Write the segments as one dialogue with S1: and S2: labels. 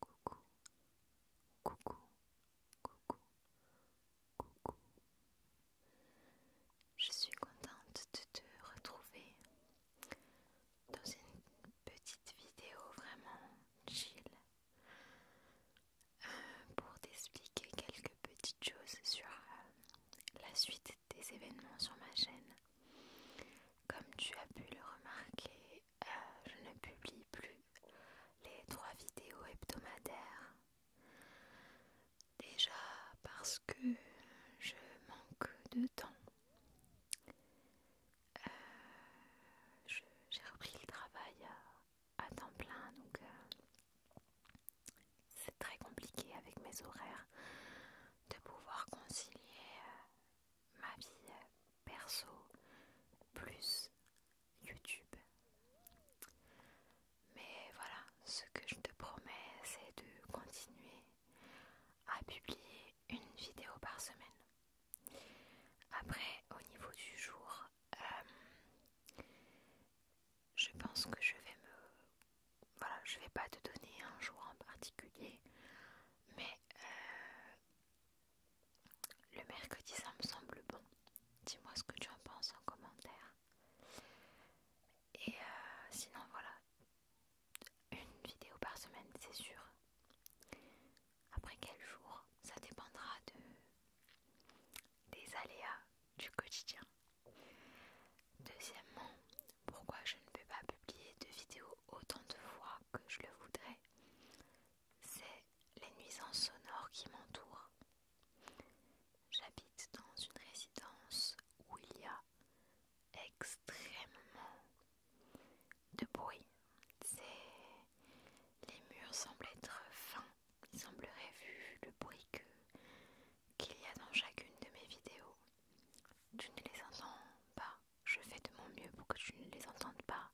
S1: coucou, coucou, coucou, coucou. Je suis contente de te retrouver dans une petite vidéo vraiment chill euh, pour t'expliquer quelques petites choses sur euh, la suite des événements sur ma chaîne. Comme tu as pu le remarquer, euh, je ne publie plus les trois vidéos hebdomadaires. Déjà parce que je manque de temps. Euh, j'ai repris le travail euh, à, temps plein, donc c'est très compliqué avec mes horaires de pouvoir concilier ma vie perso plus YouTube. Mais voilà, ce que je te promets, c'est de continuer à publier une vidéo par semaine. Après, au niveau du jour, euh, je pense que je vais me... Voilà, je vais pas te donner un jour en particulier. Mais euh, le mercredi, ça me semble bon. Dis-moi ce que tu en penses en commentaire. Et euh, sinon, voilà. Une vidéo par semaine, c'est sûr. Après quel jour, ça dépendra de... des aléas du quotidien. Deuxièmement, pourquoi je ne peux pas publier de vidéos autant de fois que je le voudrais, c'est les nuisances sonores qui m'entourent. J'habite dans une résidence où il y a extrêmement de bruit. Les murs semblent être fins. Il semblerait, vu le bruit qu'il y a dans chacune de mes vidéos, tu ne les entends pas je fais de mon mieux pour que tu ne les entendes pas.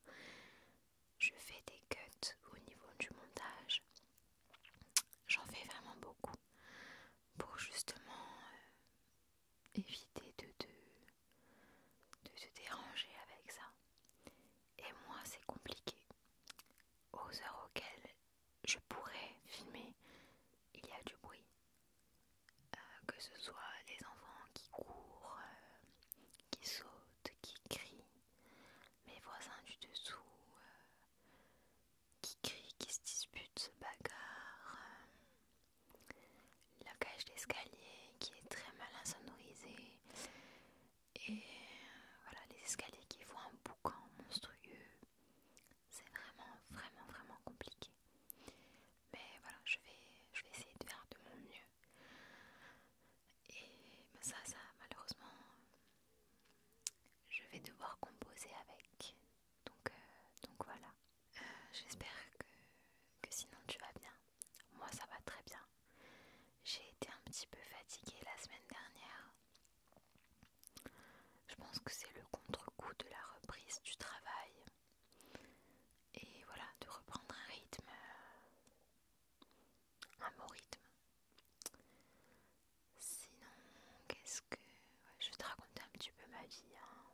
S1: Je fais des cuts au niveau du montage. J'en fais vraiment beaucoup pour justement euh, éviter de de te déranger avec ça. Et moi, c'est compliqué. Aux heures auxquelles je pourrais filmer, il y a du bruit. Euh, que ce soit les enfants qui courent, euh, qui sautent, qui crient, mes voisins du dessous euh, qui crient, qui se disputent, se bagarrent, la cage d'escalier qui est très mal insonorisée et voilà les escaliers qui font un boucan monstrueux. C'est vraiment, vraiment, vraiment compliqué. Mais voilà, je vais, je vais essayer de faire de mon mieux. Et ça, ça, malheureusement, je vais devoir composer avec. Donc, euh, donc voilà. Euh, j'espère que, que sinon tu vas bien. Moi, ça va très bien. J'ai été un petit peu fatiguée la semaine dernière. Je pense que c'est le contre-coup de la reprise du travail et voilà de reprendre un rythme euh, un bon rythme sinon qu'est-ce que je vais te raconter un petit peu ma vie hein.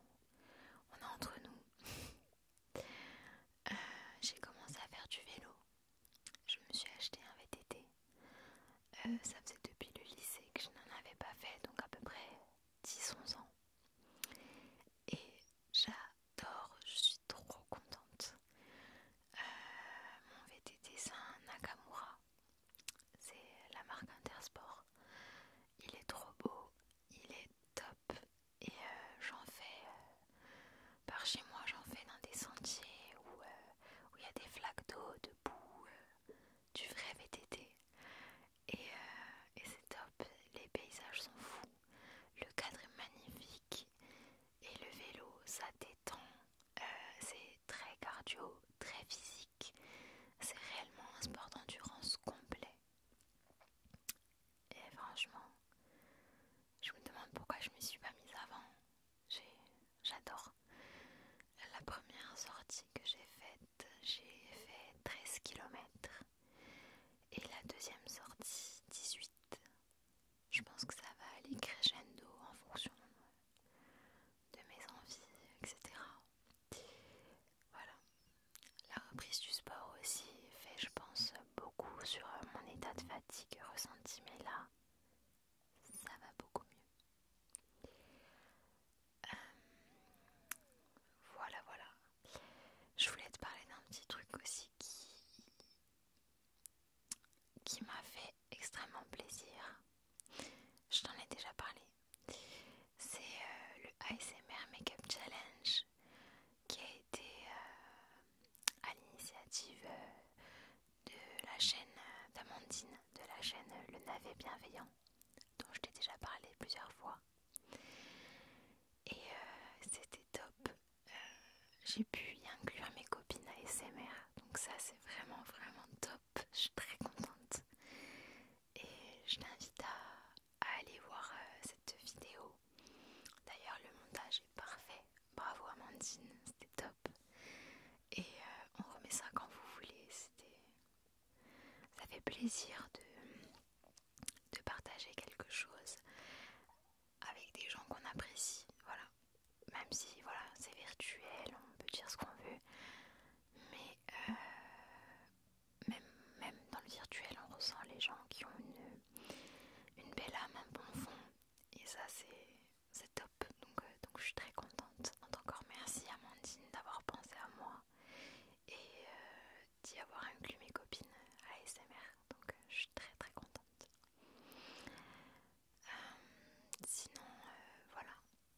S1: on est entre nous euh, j'ai commencé à faire du vélo je me suis acheté un VTT euh, ça faisait depuis le lycée que je n'en avais pas fait donc à peu près 10-11 ans. Et j'adore, je suis trop contente. Euh, mon VTT c'est un Nakamura, c'est la marque Intersport. Il est trop beau, il est top et euh, j'en fais euh, par chez moi, j'en fais dans des sentiers où il y a des flaques d'eau, de boue, du vrai VTT. Euh, et, c'est top, les paysages sont fous, le cadre est magnifique et le vélo ça détend, euh, c'est très cardio, très physique, c'est réellement un sport d'endurance complet. Et franchement, je me demande pourquoi je me suis pas mise avant. J'adore. La première sortie que j'ai faite j'ai fait 13 km et la deuxième sortie 18. Je pense que ça va aller crescendo en fonction de mes envies, etc. Voilà. La reprise du sport aussi fait, je pense, beaucoup sur mon état de fatigue ressenti, mais là, ça va beaucoup mieux voilà, voilà. Je voulais te parler d'un petit truc aussi qui, m'a fait extrêmement plaisir. Je t'en ai déjà parlé. C'est euh, le ASMR Makeup Challenge qui a été euh, à l'initiative euh, de la chaîne d'Amandine, de la chaîne Le Navet Bienveillant dont je t'ai déjà parlé plusieurs fois. Et euh, c'était top. Euh, j'ai pu y inclure mes copines à SMR, donc ça c'est vraiment vraiment top. Je suis très contente. Et je t'invite à, aller voir euh, cette vidéo. D'ailleurs le montage est parfait. Bravo Amandine, c'était top. Et euh, on remet ça quand vous voulez. C'était, ça fait plaisir de, de partager quelque chose avec des gens qu'on apprécie. Voilà, même si voilà c'est virtuel, on peut dire ce qu'on veut, mais euh, même, même dans le virtuel, on ressent les gens qui ont une, une belle âme, un bon fond. Et ça, c'est c'est top. Donc, euh, donc je suis très contente. encore merci Amandine d'avoir pensé à moi et euh, d'y avoir inclus mes copines ASMR. Donc euh, je suis très très contente. sinon voilà,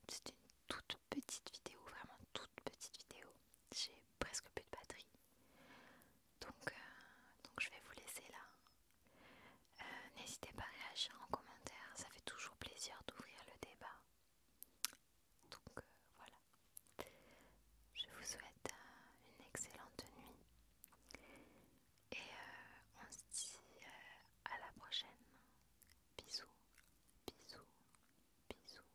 S1: c'est une toute petite vidéo, vraiment toute petite vidéo. J'ai presque plus de batterie. Donc, donc je vais vous laisser là. Euh, n'hésitez pas à réagir en commentaire, ça fait toujours plaisir d'ouvrir le débat. Donc euh, voilà. Je vous souhaite euh, une excellente nuit et on se dit à la prochaine. Bisous, bisous, bisous.